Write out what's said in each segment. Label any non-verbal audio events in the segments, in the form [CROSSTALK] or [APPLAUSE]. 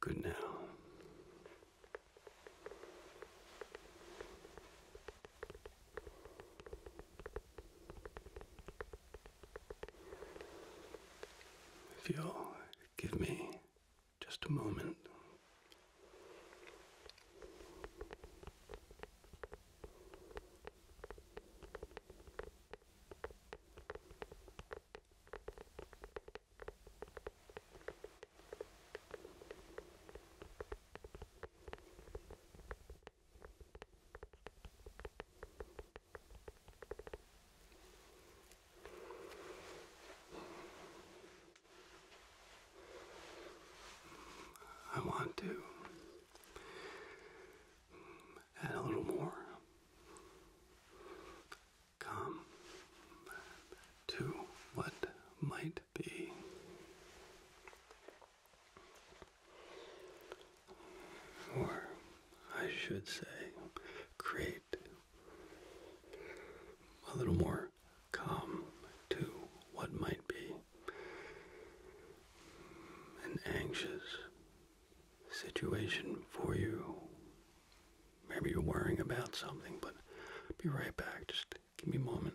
Good now. If you'll give me just a moment. I want to add a little more calm to what might be or I should say, create a little more calm to what might be an anxious situation for you. Maybe you're worrying about something, but I'll be right back. Just give me a moment.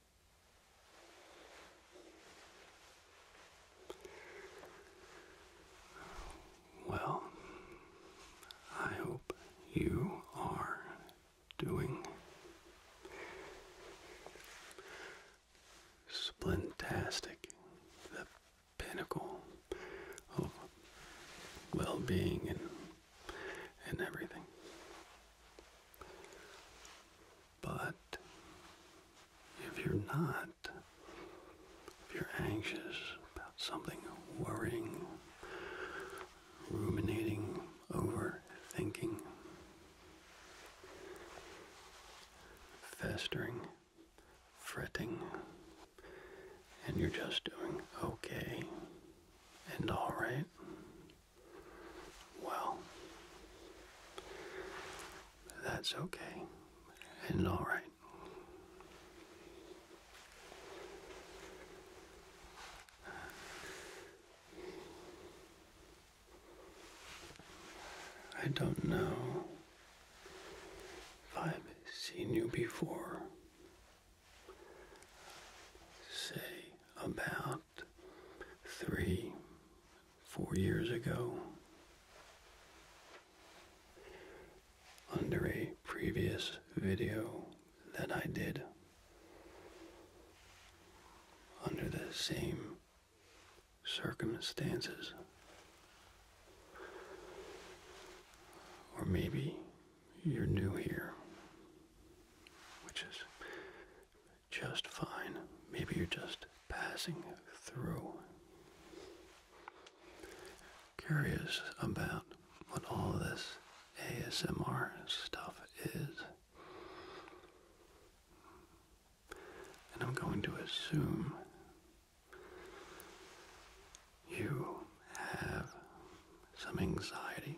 Well, I hope you are doing splintastic, the pinnacle of well being and and everything. But if you're not, if you're anxious about something, worrying, ruminating, overthinking, festering, fretting, and you're just doing okay and all right, well, that's okay and all right. I don't know if I've seen you before. Say about three, four years ago under a previous video that I did under the same circumstances. Or maybe you're new here, which is just fine. Maybe you're just passing through. Curious about what all this ASMR stuff is. And I'm going to assume you have some anxiety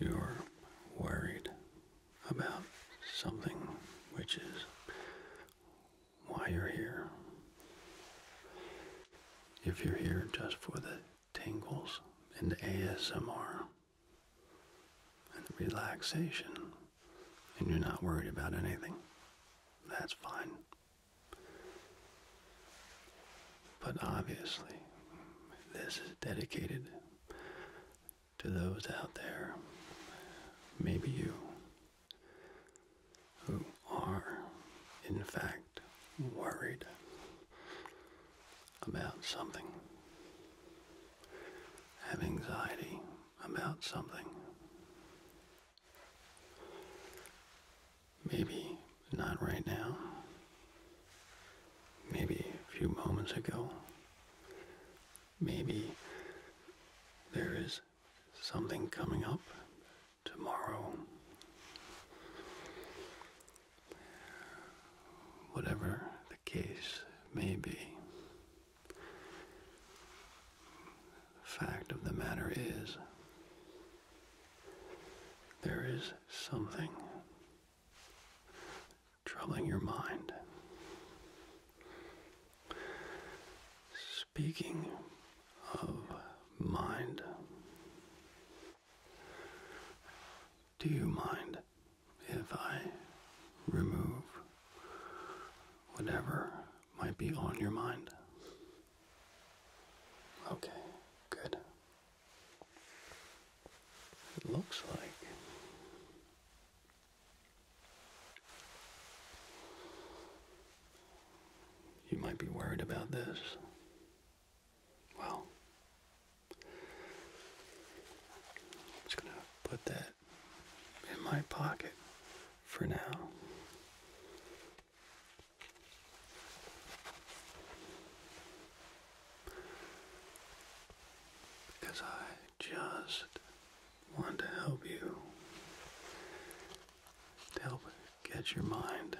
you're worried about something, which is why you're here. If you're here just for the tingles and the ASMR and the relaxation, and you're not worried about anything, that's fine. But obviously, this is dedicated to those out there, maybe you, who are in fact worried about something, have anxiety about something. Maybe not right now, maybe a few moments ago. Maybe there is something coming up tomorrow. Whatever the case may be, the fact of the matter is, there is something troubling your mind. Speaking of mind, do you mind if I remove whatever might be on your mind? Okay, good. It looks like. You might be worried about this. Well, I'm just going to put that in my pocket for now because I just want to help you to help get your mind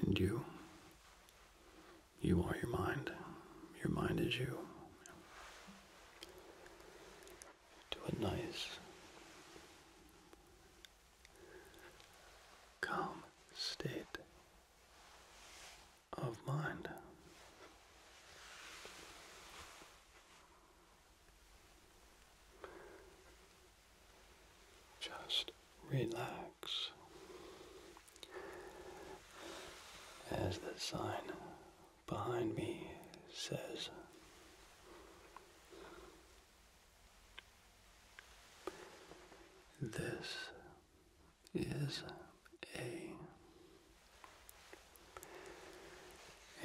and you. You are your mind. Your mind is you. To a nice, calm state of mind. Just relax as the sign behind me says. This is a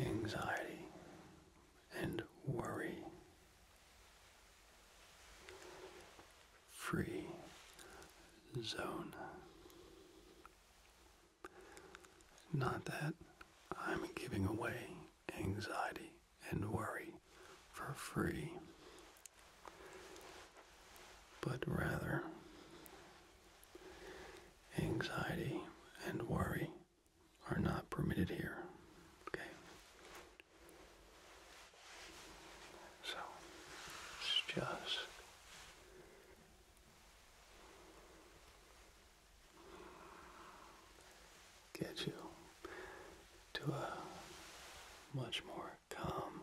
anxiety and worry free zone. Not that I'm giving away anxiety and worry for free, but rather anxiety and worry are not permitted here. Okay? So, it's just. Get you to a much more calm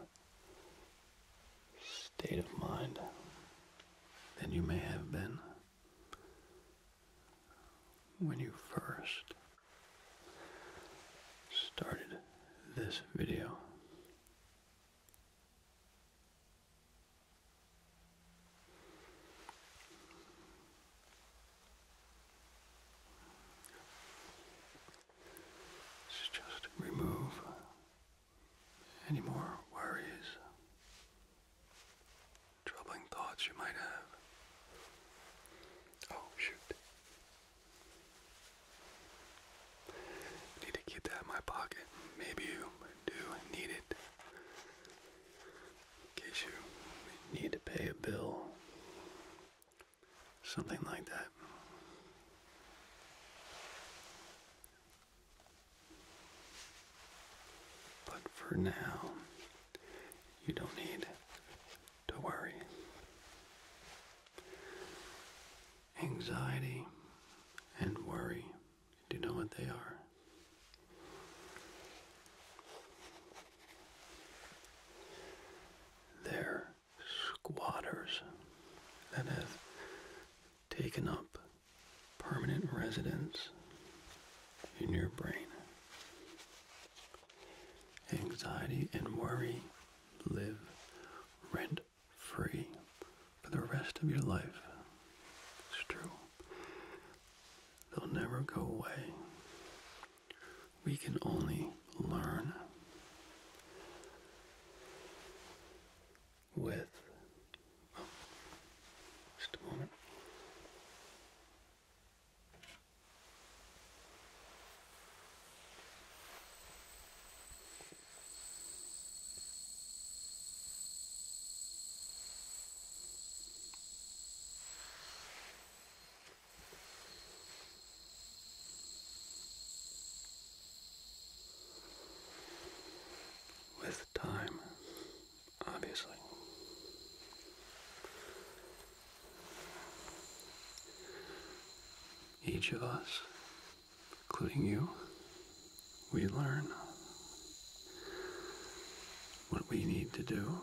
state of mind than you may have been when you first started this video. Let's just remove any more worries, troubling thoughts you might have. Oh, shoot. need to keep in my pocket. Maybe you do need it. In case you need to pay a bill Something like that. But for now, you don't need to worry. Anxiety and worry, do you know what they are? They're squatters that have taken up permanent residence in your brain. Anxiety and worry live rent free for the rest of your life. It's true. They'll never go away we can only learn with. Oh, just a moment. With time, obviously. Each of us, including you, we learn what we need to do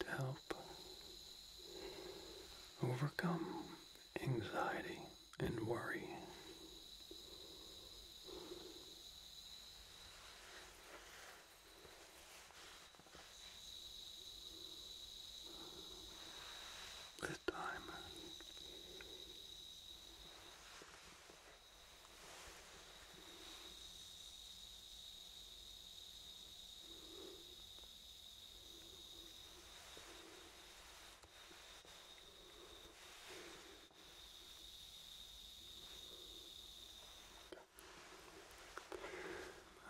to help overcome anxiety and worry. This time,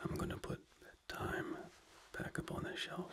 I'm going to put time back up on the shelf.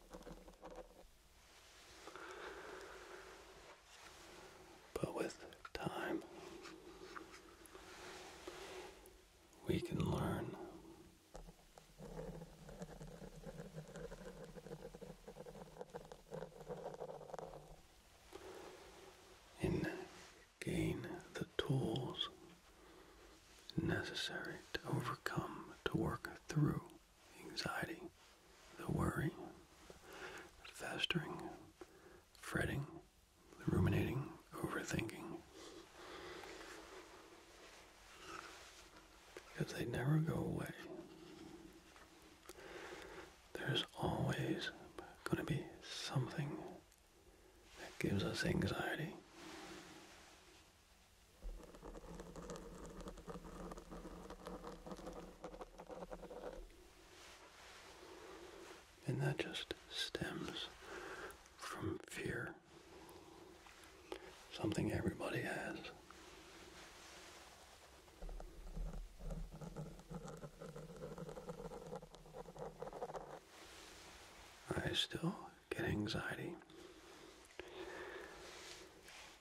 But with time, we can learn. And gain the tools necessary to overcome, to work through anxiety, the worry, the festering, fretting, the ruminating, overthinking. Because they never go away. There's always going to be something that gives us anxiety. And that just stems from fear. Something everybody has. I still get anxiety.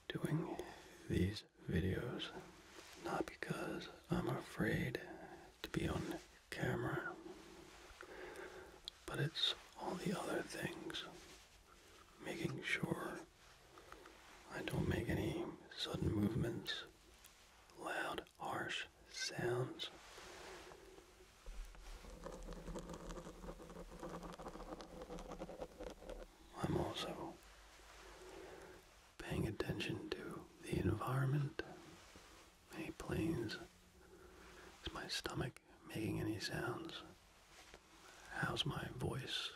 Doing these videos not because I'm afraid to be on camera, but it's all the other things. Making sure I don't make any sudden movements, loud, harsh sounds, I'm also paying attention to the environment. Any planes? Is my stomach making any sounds? How's my voice?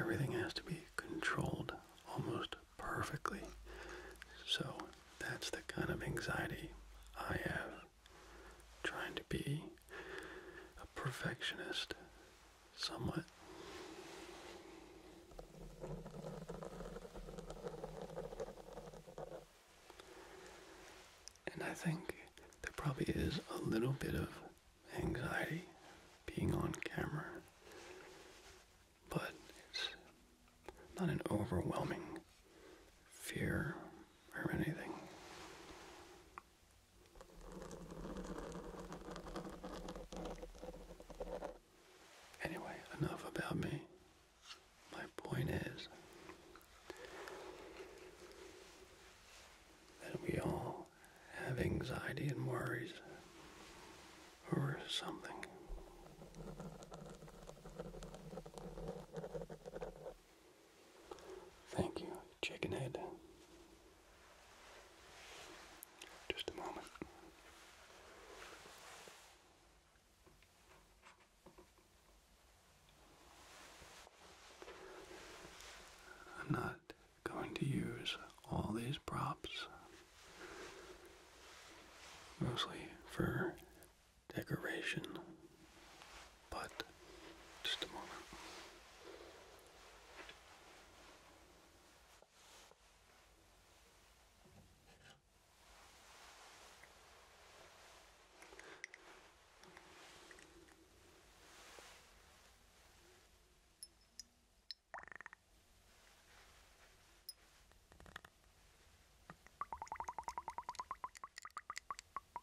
Everything has to be controlled almost perfectly. So that's the kind of anxiety I have trying to be a perfectionist somewhat. And I think there probably is a little bit of anxiety being on camera, but it's not an overwhelming fear or anything. Anyway, enough about me. My point is that we all have anxiety and worries over something. Thank you, chicken head. Just a moment. I'm not going to use all these props, mostly for decoration, but just a moment.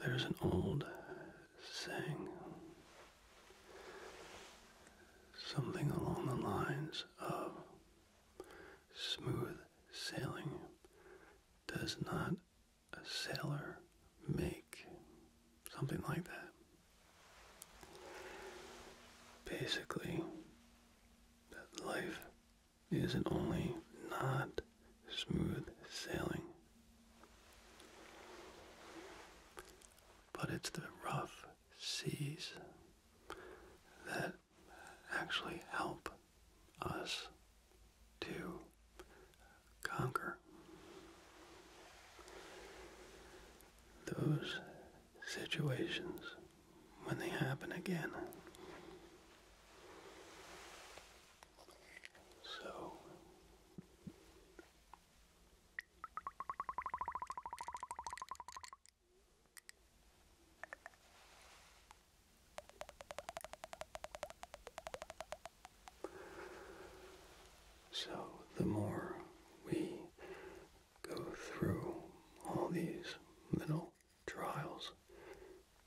There's an old saying, something along the lines of smooth sailing does not a sailor make, something like that. Basically, life isn't only not smooth sailing, but it's the rough seas that actually help us to conquer. Those situations when they happen again. So so, the more we go through all these little trials,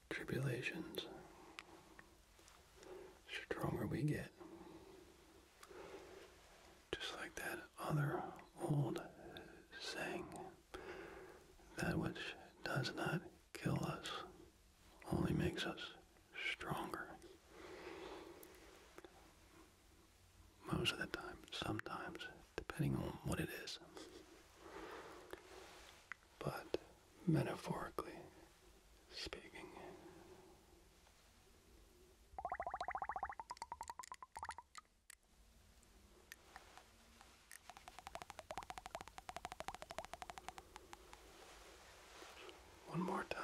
tribulations, stronger we get. Just like that other old saying, that which does not kill us only makes us stronger most of the time, sometimes, depending on what it is. But metaphorically speaking, one more time.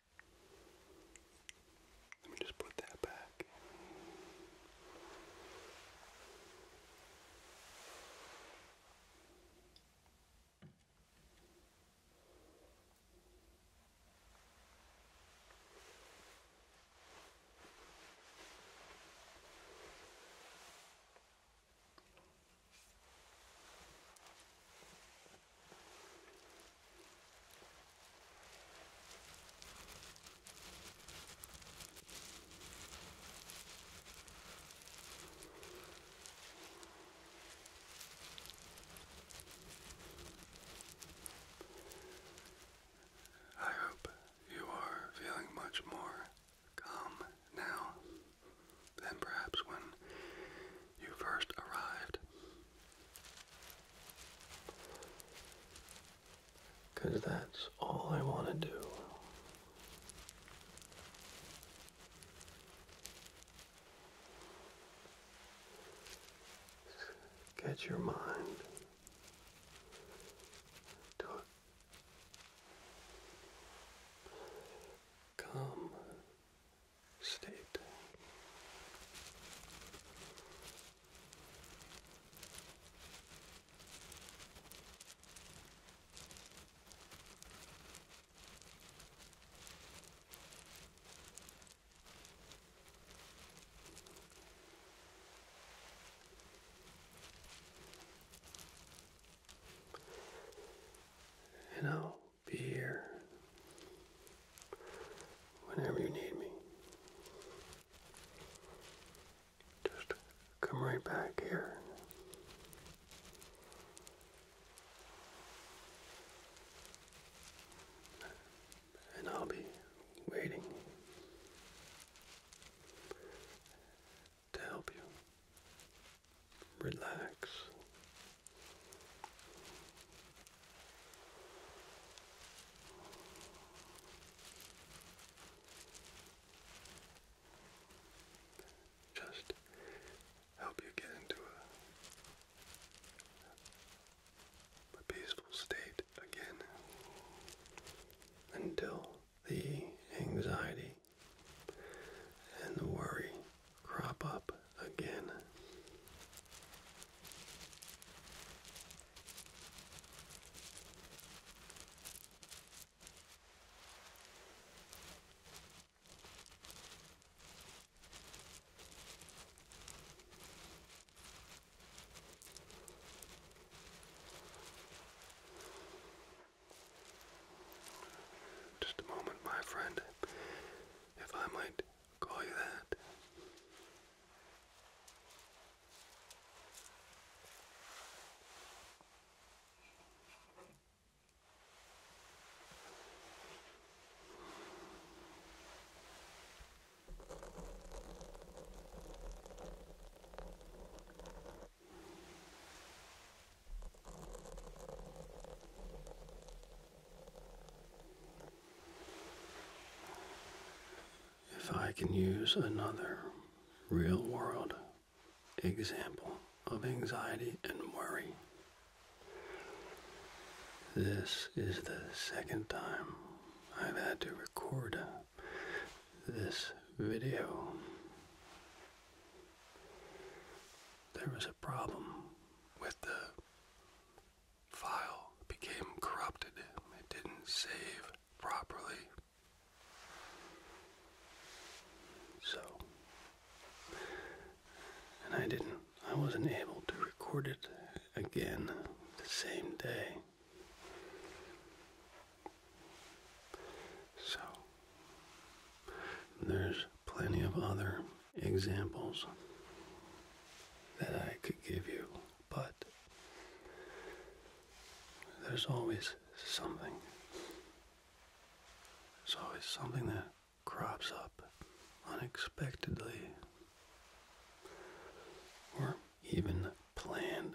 Let me just put that back. I hope you are feeling much more calm now than perhaps when you first arrived because that's all I want to do. Get your mind to a state. You know, be here whenever you need me. Just come right back here. And I'll be waiting to help you relax just help you get into a, peaceful state again until the anxiety and the worry crop up again. Just a moment, my friend, if I might Go like that. If I can use another real world example of anxiety and worry, this is the second time I've had to record this video. There was a problem with the file became corrupted. It didn't save properly. So, and I didn't, I wasn't able to record it again the same day. So, there's plenty of other examples that I could give you, but there's always something. There's always something that crops up unexpectedly or even planned.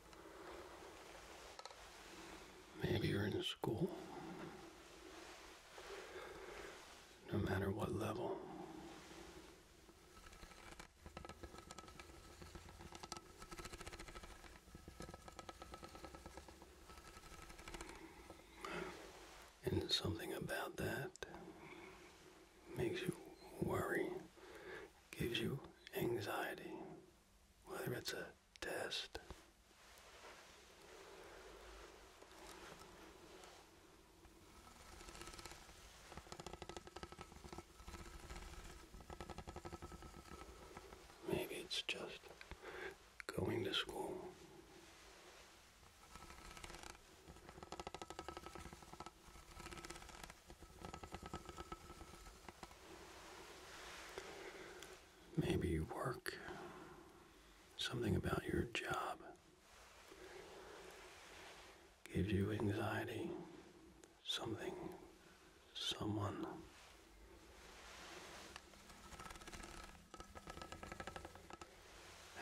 Maybe you're in school. No matter what level. And something about that makes you worry, gives you anxiety, whether it's a test. Maybe it's just going to school maybe work, something about your job gives you anxiety, something, someone.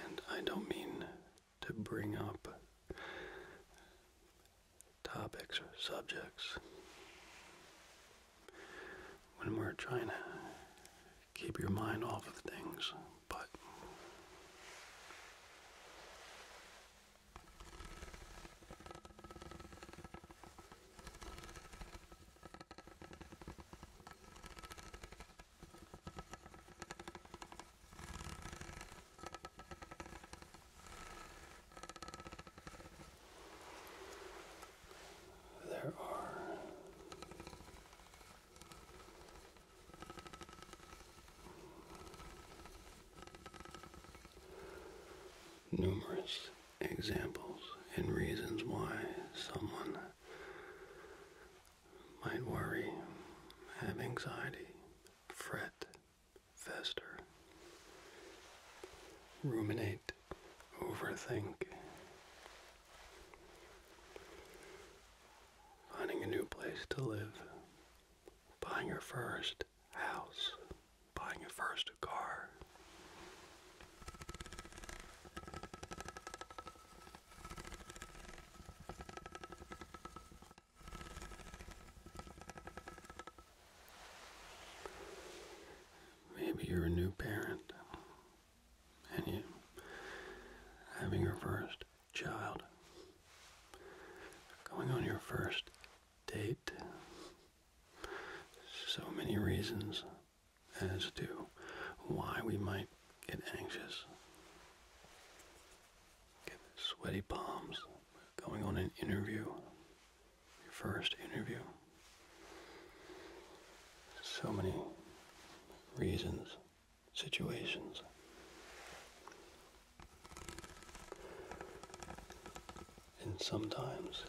And I don't mean to bring up topics or subjects. When we're trying to keep your mind off of things, but there are numerous examples and reasons why someone might worry, have anxiety, fret, fester, ruminate, overthink. Finding a new place to live, buying your first house, buying your first car. Maybe you're a new parent and you having your first child, going on your first date. So many reasons as to why we might get anxious, get sweaty palms, going on an interview, your first interview. So many reasons, situations. And sometimes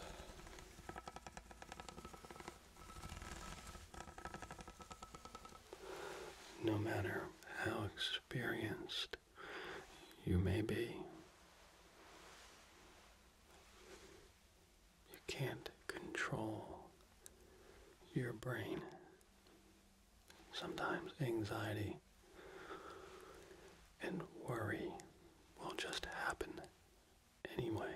no matter how experienced you may be, you can't control your brain. Sometimes anxiety and worry will just happen anyway.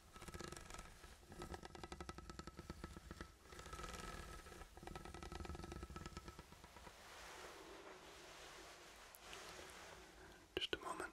Just a moment.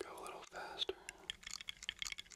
Go a little faster.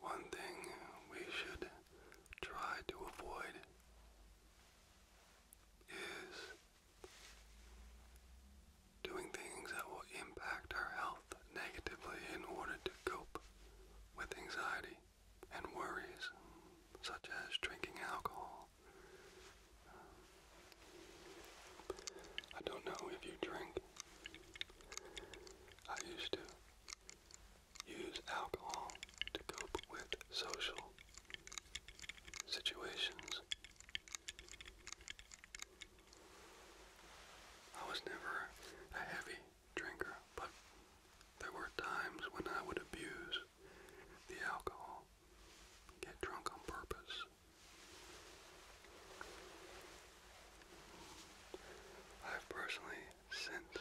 One thing we should try to avoid is doing things that will impact our health negatively in order to cope with anxiety and worries, such as drinking alcohol. I don't know if you drink, I used to use alcohol to cope with social situations. I was never a heavy drinker, but there were times when I would abuse the alcohol, get drunk on purpose. I've personally since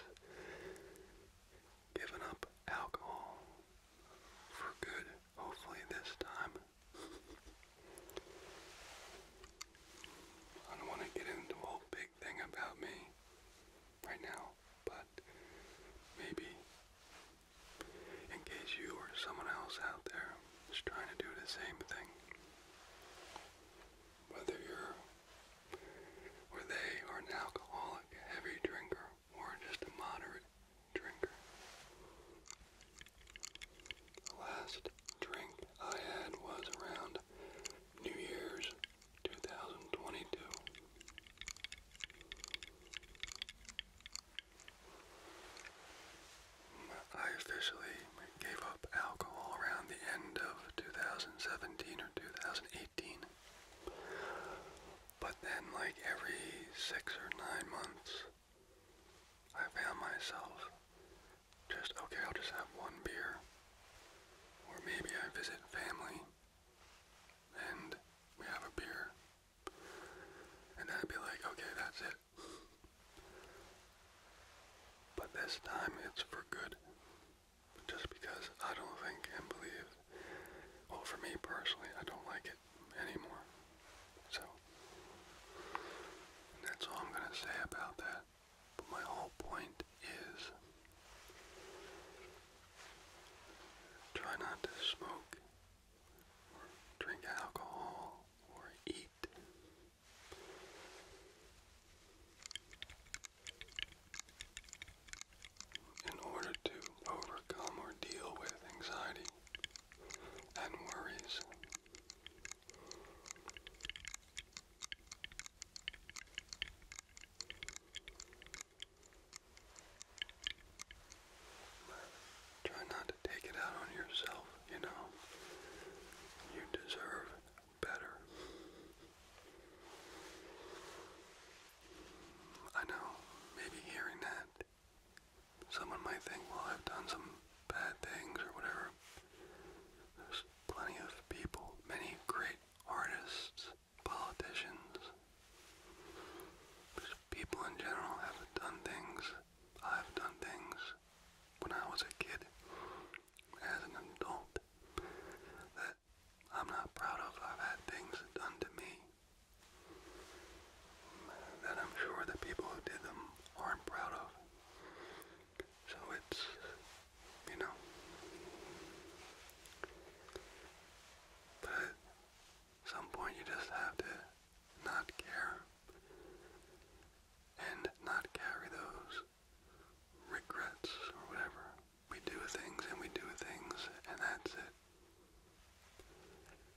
given up alcohol for good, hopefully this time. I don't want to get into a whole big thing about me right now, but maybe in case you or someone else out there is trying to do the same thing whether you're or they are an alcoholic, heavy drinker, or just a moderate drinker. The last drink I had was around New Year's 2022. I officially gave up alcohol around the end of 2017 or 2018. But then, like every six or nine months, I found myself just, okay, I'll just have one beer. Or maybe I visit family and we have a beer. And then I'd be like, okay, that's it. But this time it's for good. Just because I don't think and believe, well, for me personally, I don't like it anymore. So, that's all I'm going to say about that. But my whole point is try not to smoke or drink alcohol or eat in order to overcome or deal with anxiety and worries, try not to take it out on yourself, you know. You deserve better. I know, maybe hearing that, someone might think, well, I've done some bad things or whatever. There's plenty of people, many great artists, politicians, people in general have done things. I've done things when I was a kid as an adult that I'm not proud of. I've had things done to me that I'm sure the people who did them aren't proud of. So it's, you know. But at some point you just have to not care and not carry those regrets or whatever. We do things and we do things and that's it.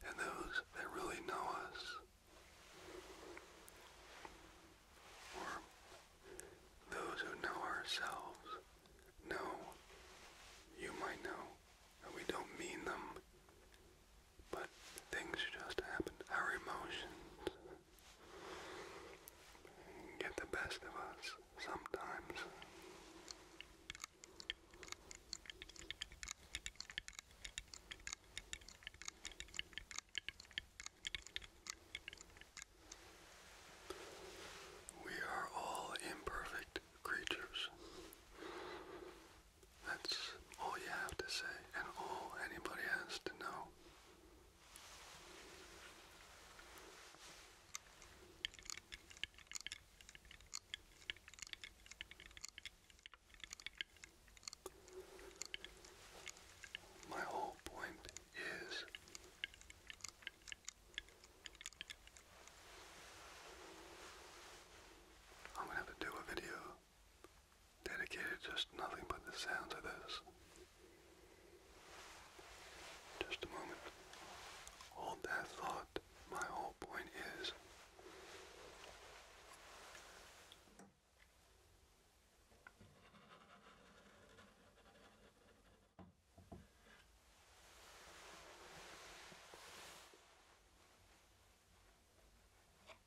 And those that really know us or those who know ourselves know, you might know, that we don't mean them, but things just happen. Our emotions get the best of us sometimes. We are all imperfect creatures. That's all you have to say, and all anybody has to know. My whole point is I'm going to have to do a video dedicated just nothing but the sounds of this. Just a moment. Hold that thought. My whole point is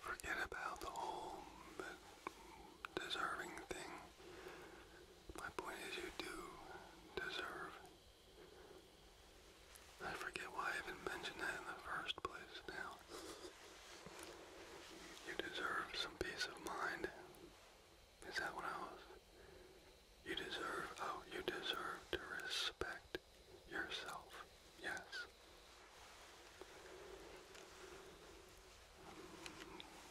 Forget about the whole deserving thing. My point is, you do deserve I forget why I even mentioned that in the first place now. You deserve some peace of mind. Is that what I was? You deserve, oh, you deserve to respect yourself. Yes.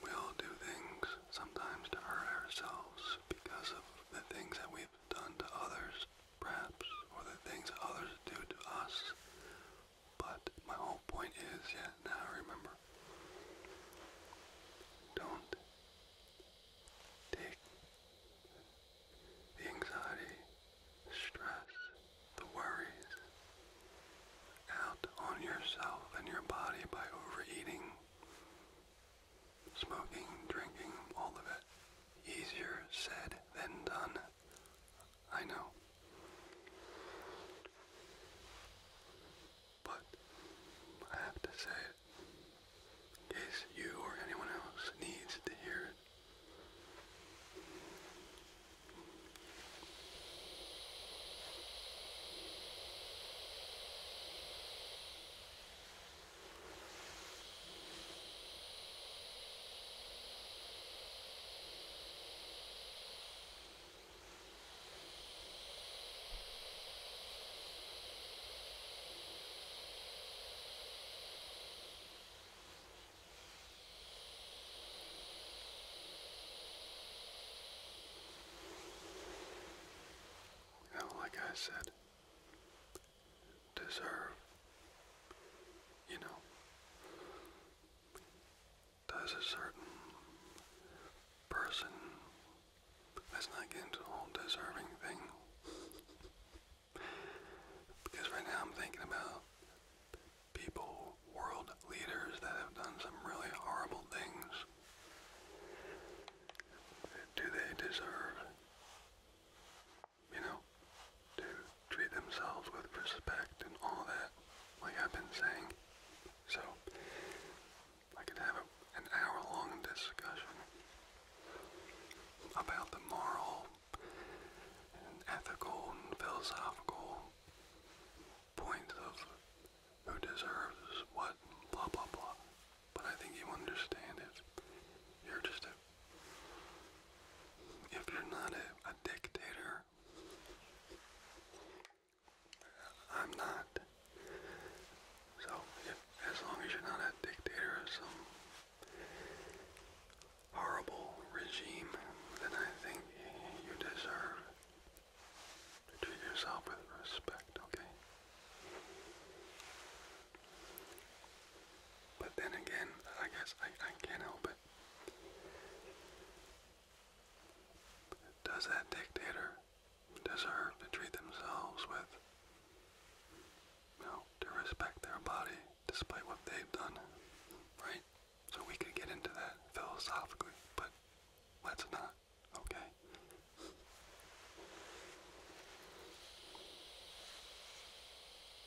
We all do things sometimes to hurt ourselves because of the things that we've done to others perhaps, or the things others do to us. But my whole point is, yeah, now I remember. Don't take the anxiety, stress, the worries out on yourself and your body by overeating, smoking, drinking, all of it. Easier said than done. I know. But I have to say it in case you or anyone else needs to hear it. Now, like I said, deserve, you know, does a certain person, let's not get into the deserving thing, because right now I'm thinking about people, world leaders that have done some really horrible things. Do they deserve you know, to treat themselves with respect and all that, like I've been saying. So, I could have an hour-long discussion about the moral ethical philosophical points of who deserves what, blah, blah, blah. But I think you understand it. You're just a if you're not a, dictator, I'm not. So, as long as you're not a dictator of some horrible regime, then I think you deserve to treat yourself with respect, okay? But then again, I guess I, I can't help it. Does that dictator deserve to treat themselves with, you to respect their body despite what they've done, right? So we could get into that philosophically, but let's not, okay?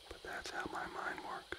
But that's how my mind works.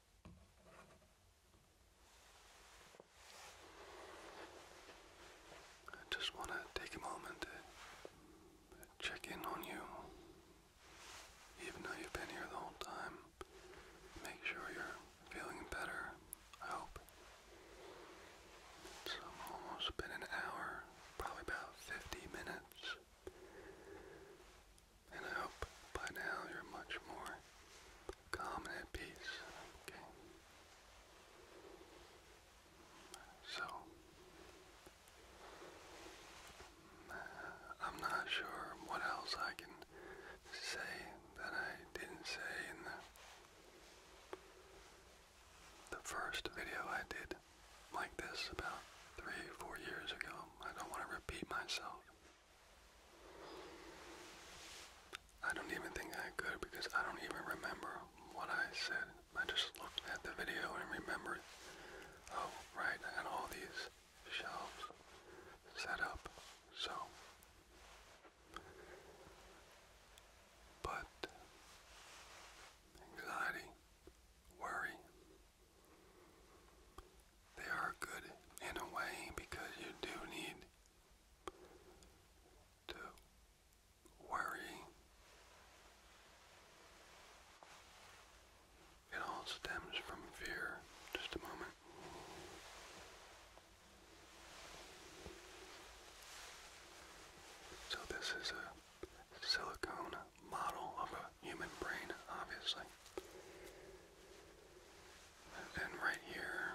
I just want to take a moment to check in on you. Even though you've been here the whole time, make sure you're feeling better. I hope. It's almost been an hour, probably about 50 minutes. And I hope by now you're much more calm and peace. Okay. So, uh, I'm not sure what else I can say that I didn't say in the, the first video I did like this about three four years ago. I don't want to repeat myself. I don't even think I could because I don't even remember what I said. I just looked at the video and remembered, oh, right, I had all these shelves set up, so. But anxiety, worry, they are good in a way because you do need to worry. It all stems from fear. Just a moment. So this is a silicone model of a human brain, obviously. And right here,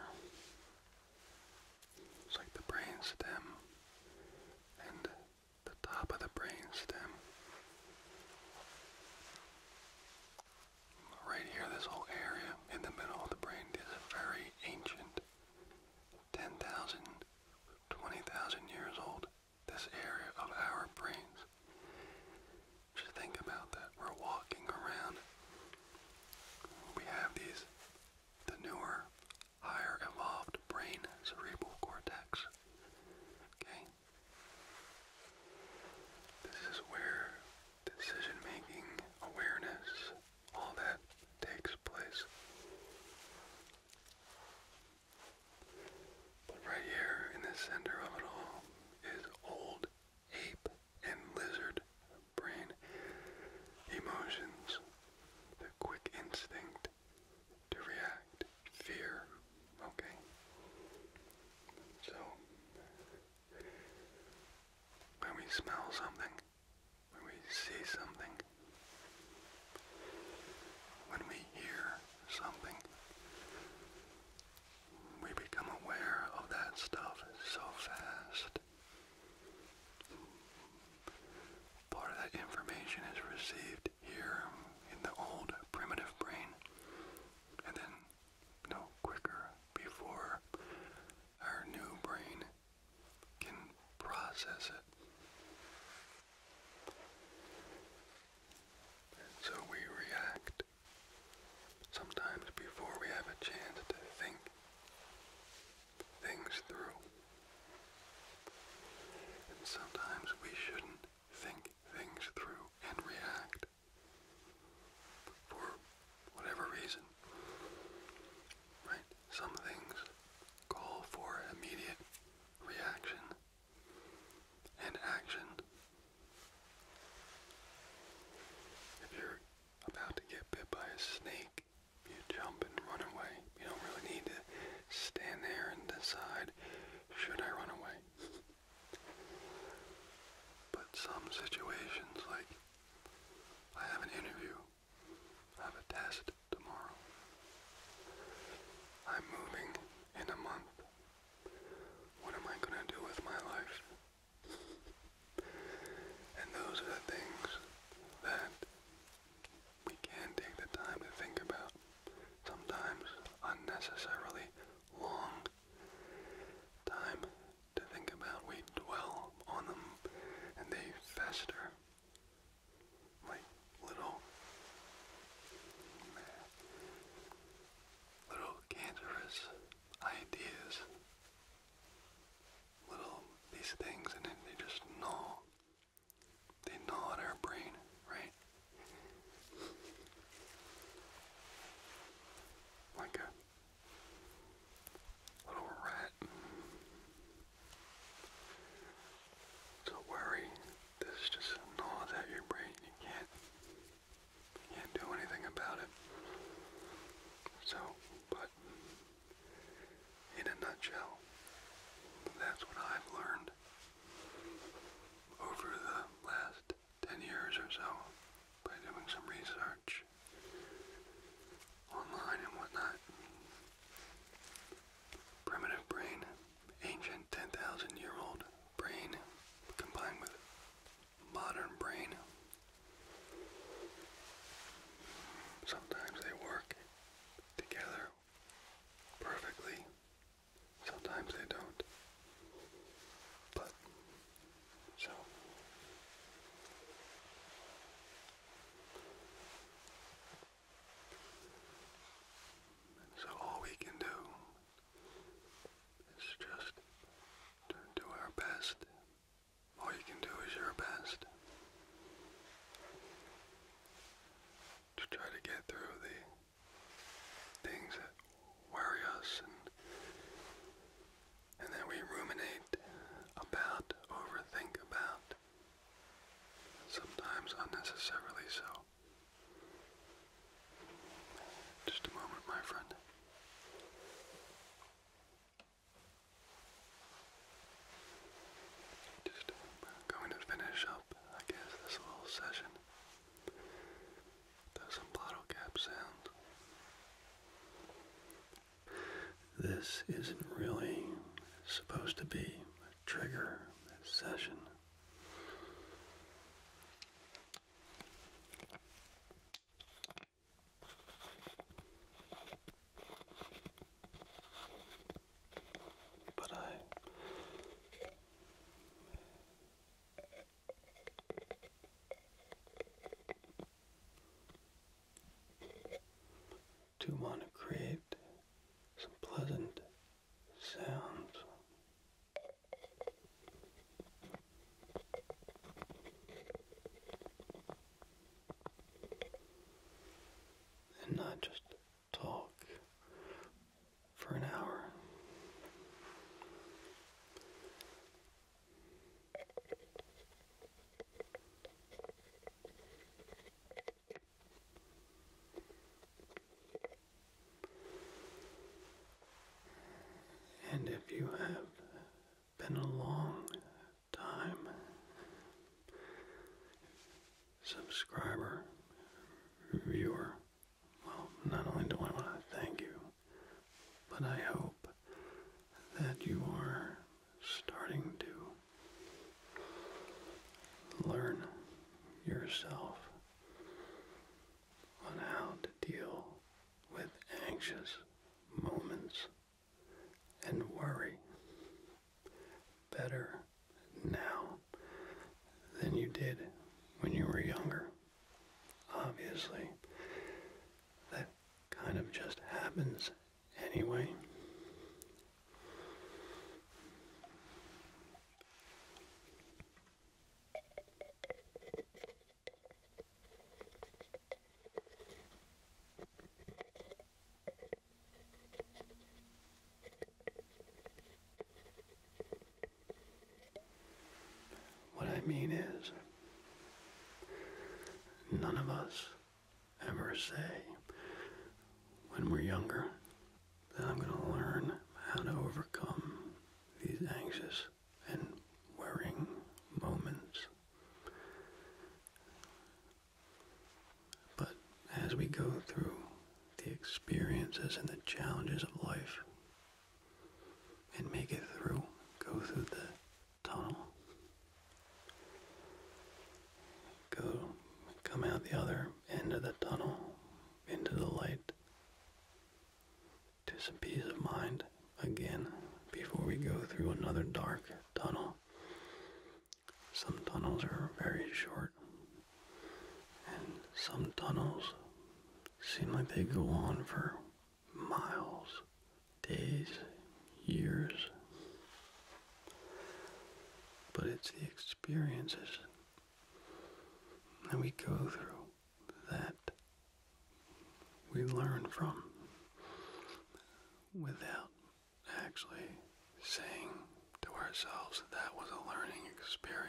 it's like the brain and the top of the brain Right here, this whole area in the middle of the brain is very ancient. 10,000, 20,000 years old, this area of our brains. Just think about that. We're walking around. We have these, the newer, higher evolved brain cerebral cortex. Okay? This is where decision making, awareness, all that takes place. But right here in the center of it all is old ape and lizard brain emotions, the quick instinct to react, fear, okay? So, when we smell something, when we see something, when we hear something, we become aware of that stuff so fast. Part of that information is received here in the old primitive brain, and then no quicker before our new brain can process it. so we react Sometimes before we have a chance to think things through. And sometimes we shouldn't think things through and react for whatever reason. Right? Some things call for immediate reaction and action. If you're about to get bit by a snake, you jump and run away. You don't really need to stand there and decide, should I run away? But some situations, like I have an interview, I have a test tomorrow, I'm moving in a month. What am I going to do with my life? And those are the things that we can take the time to think about, sometimes unnecessarily long time to think about. We dwell on them and they fester like little little cancerous ideas, little these things, and then they just gnaw. They gnaw at our brain, right? Like a little rat. So worry, this just gnaws at your brain. You can't can't do anything about it. So, but in a nutshell, that's what I've learned over the last 10 years or so by doing some research online and whatnot. Primitive brain, ancient 10,000 year old brain combined with modern brain. Sometimes they work together perfectly, sometimes they don't. But, so. so all we can do it's just to do our best. All you can do is your best to try to get through the things that worry us and and that we ruminate about, overthink about, sometimes unnecessarily so. Just a moment, my friend. Just uh, going to finish up, I guess, this little session. There's some bottle cap sound. This isn't really supposed to be a trigger session. But I do want to create some pleasant sounds and not just talk for an hour. And if you have been a long time subscriber, viewer. Well, not only do I want to thank you, but I hope that you are starting to learn yourself on how to deal with anxious moments and worry. Better now than you did when you were younger. Obviously, that kind of just happens anyway. What I mean is, none of us ever say when we're younger that I'm going to learn how to overcome these anxious and worrying moments. But as we go through the experiences and the challenges of life and make it through, go through the tunnel, go come out the other end of the tunnel into the light, just some peace of mind again before we go through another dark tunnel. Some tunnels are very short, and some tunnels seem like they go on for miles, days, years. But it's the experiences that we go through that we learn from without actually saying to ourselves that, that was a learning experience.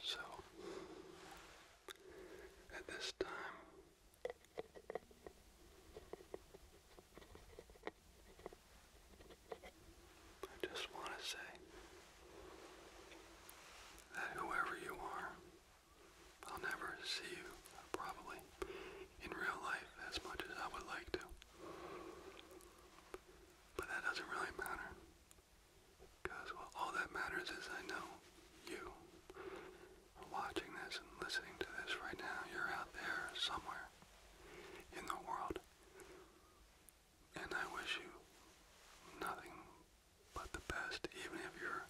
So, at this time, I just want to say that whoever you are, I'll never see you, probably, in real life as much as I would like to. But that doesn't really matter. Because well, all that matters is I know you are watching this and listening to this right now. You're out there somewhere in the world. And I wish you nothing but the best. Even if you're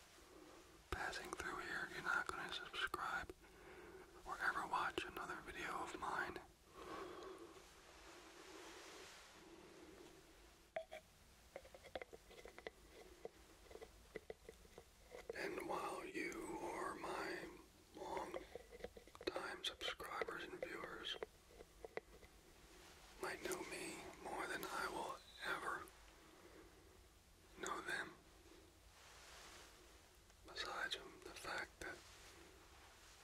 passing through here, you're not going to subscribe or ever watch another video of mine. And while you or my long time subscribers and viewers might know me more than I will ever know them, besides the fact that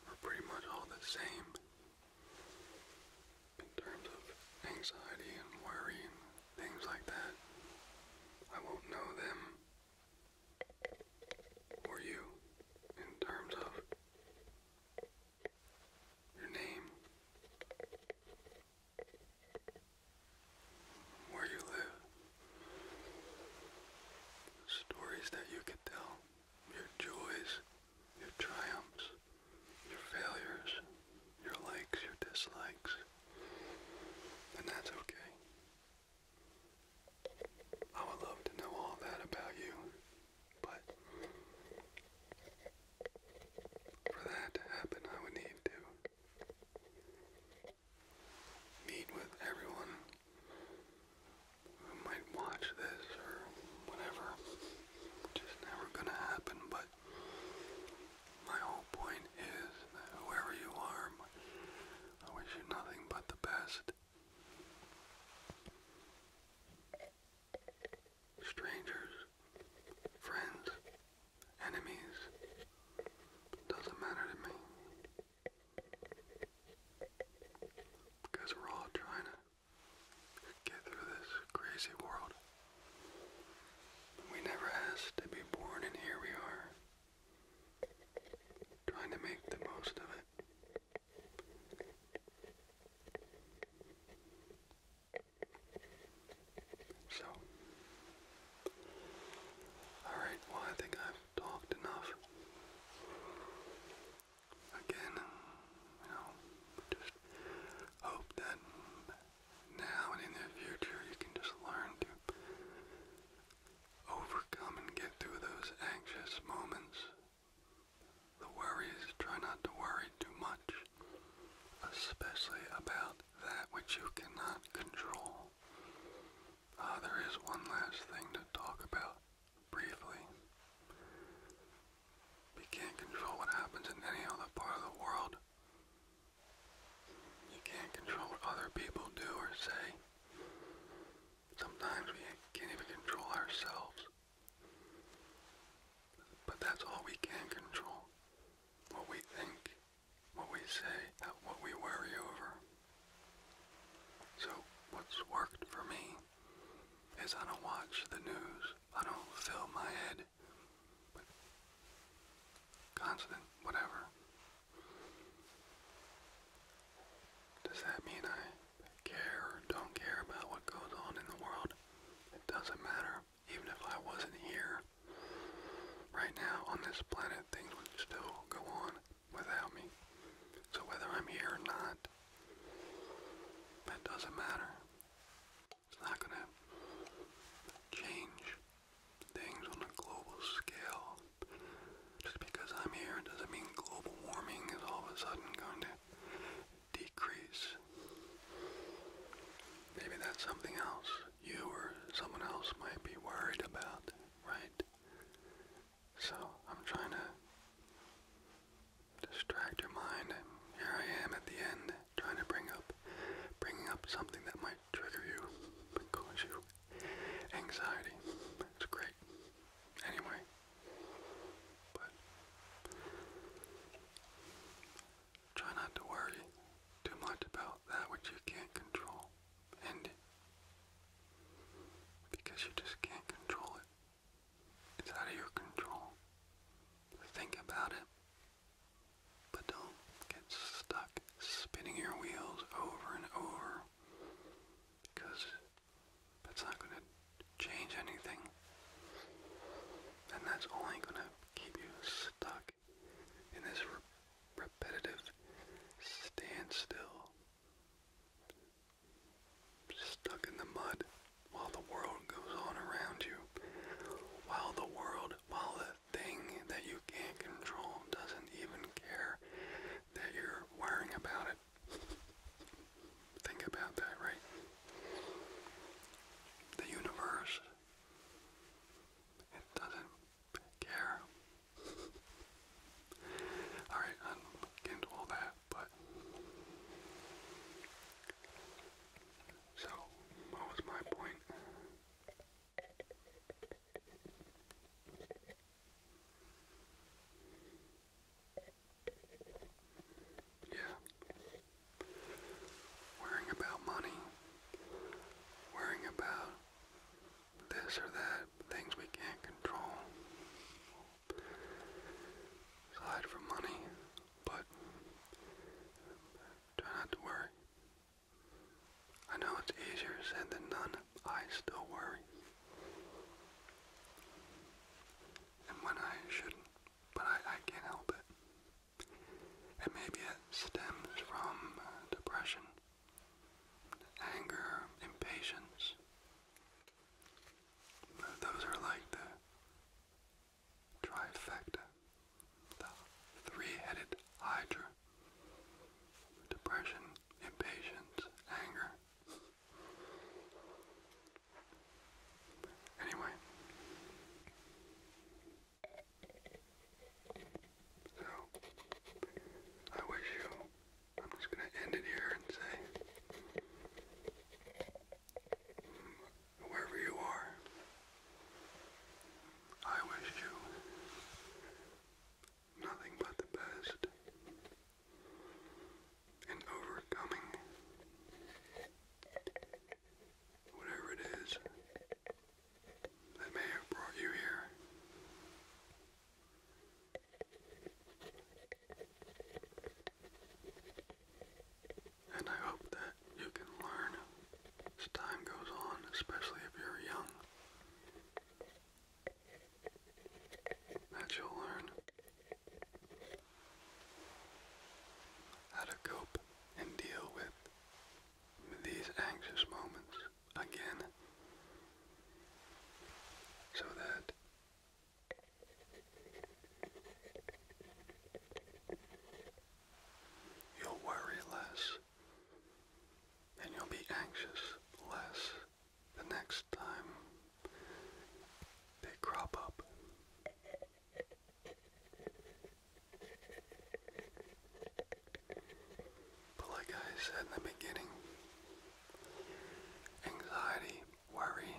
we're pretty much all the same in terms of anxiety and worry things like that. I won't know them or you in terms of your name, where you live, stories that you could tell your joys, your triumphs, your failures, your likes, your dislikes. And that's okay. I would love to know all that about you, but for that to happen, I would need to meet with everyone I might watch this or whatever. Just never gonna happen, but my whole point is that whoever you are, I wish you nothing but the best. Strangers, friends, enemies, doesn't matter to me. Because we're all trying to get through this crazy world. We never asked to be born, and here we are, trying to make the most of it. So, alright, well, I think I've talked enough again, you know, just hope that now and in the future you can just learn to overcome and get through those anxious moments. The worries, try not to worry too much, especially about that which you cannot control. Uh, there is one last thing to talk about briefly. We can't control what happens in any other part of the world. You can't control what other people do or say. Sometimes we can't even control ourselves. But that's all we can control. What we think, what we say, what we worry over. So what's worked for me is I don't watch the news. I don't fill my head with constant whatever. Does that mean I care or don't care about what goes on in the world? It doesn't matter. Even if I wasn't here right now on this planet, things would still go on without me. So whether I'm here or not, that doesn't matter. It's not going to change things on a global scale. Just because I'm here doesn't mean global warming is all of a sudden going to decrease. Maybe that's something else you or someone else might be worried about, right? So I'm trying to distract your mind, here I am at the end, trying to bring up, bringing up something that might trigger you, cause you anxiety. It's great. Anyway, but try not to worry too much about that which you can't control, and because you just can't control it. It's out of your control. Think about it, but don't get stuck spinning your wheels over and over because that's not going to change anything. And that's only going to keep you stuck in this re repetitive standstill stuck in the mud while the world goes on around you, while the world, while the thing that you can't control doesn't even care that you're worrying about it. Think about that, right? The universe, it doesn't care. [LAUGHS] Alright, i to all that that, but so what was my point? Yeah. Worrying about money. Worrying about this or that, things we can't control aside for money, but try not to worry. I know it's easier said than done. I still worry. And when I shouldn't, but I, can't help it. And maybe it stems from uh, depression, anger, impatience. Those are like the trifecta, the three-headed hydra. Depression, impatience, anger. Anyway, so I wish you I'm just going to end it here and say, wherever you are, I wish you nothing but the best in overcoming whatever it is that may have brought you here. And I hope that you can learn as time goes on, especially if you're young, that you'll learn how to cope and deal with these anxious moments again so that You'll worry less, and you'll be anxious less the next time they crop up. But like I said in the beginning, anxiety worry.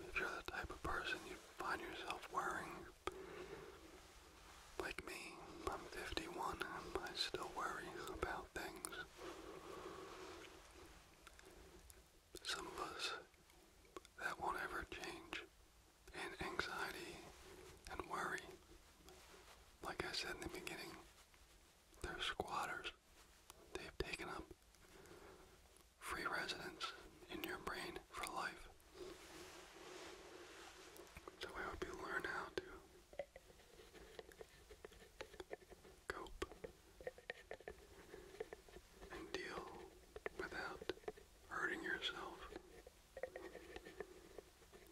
If you're the type of person you find yourself worrying, like me, I'm 51 and I still worry about things. Some of us, that won't ever change. And anxiety and worry, like I said in the beginning, they're they have taken up free residence in your brain for life. So I hope you learn how to cope and deal without hurting yourself.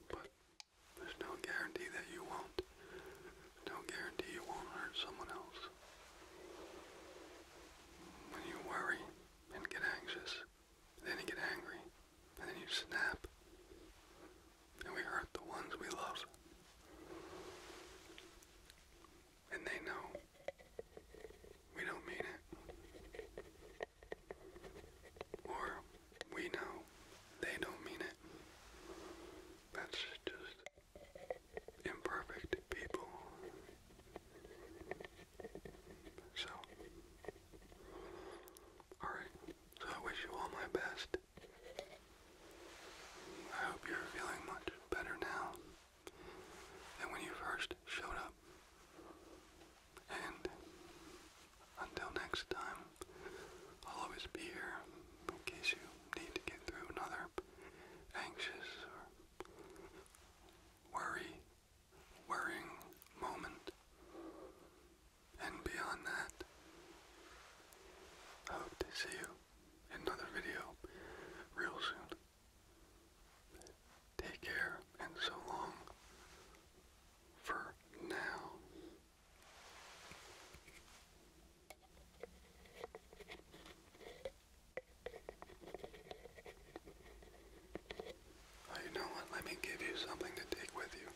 But there's no guarantee that you won't. No guarantee you won't hurt someone else. When you worry and get anxious, then you get angry, and then you snap, and we hurt the ones we love. And they know we don't mean it. Or we know they don't mean it. That's just imperfect people. So, alright, so I wish you all my best. I hope you're feeling much better now than when you first showed up. And until next time, I'll always be here in case you need to get through another anxious or worry, worrying moment. And beyond that, I hope to see you in another video real soon. Take care and so long for now. Oh, you know what? Let me give you something to take with you.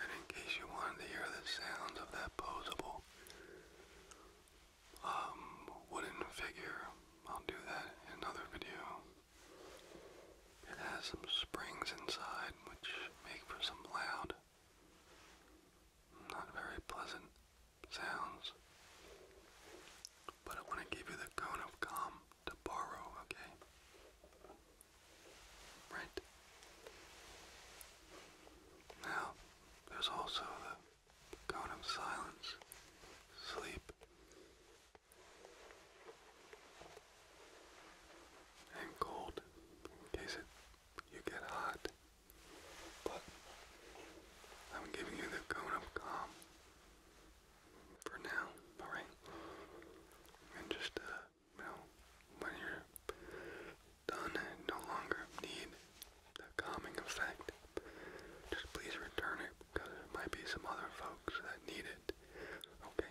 And in case you wanted to hear the sounds of that posable um, wooden figure, I'll do that in another video. It has some springs inside which make for some loud, not very pleasant sounds. But I want to give you the cone of calm to borrow, okay? Right. Now, there's also the cone of silence, sleep, and cold, in case it, you get hot. But I'm giving you the cone of calm for now, alright? And just, uh, you when you're done and no longer need the calming effect, just please return it because there might be some other folks that need it. Okay?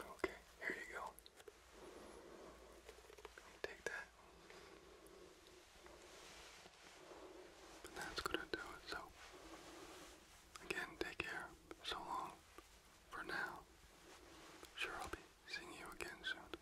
Okay, here you go. Take that. And that's gonna do it. So, again, take care. So long for now. Sure, I'll be seeing you again soon.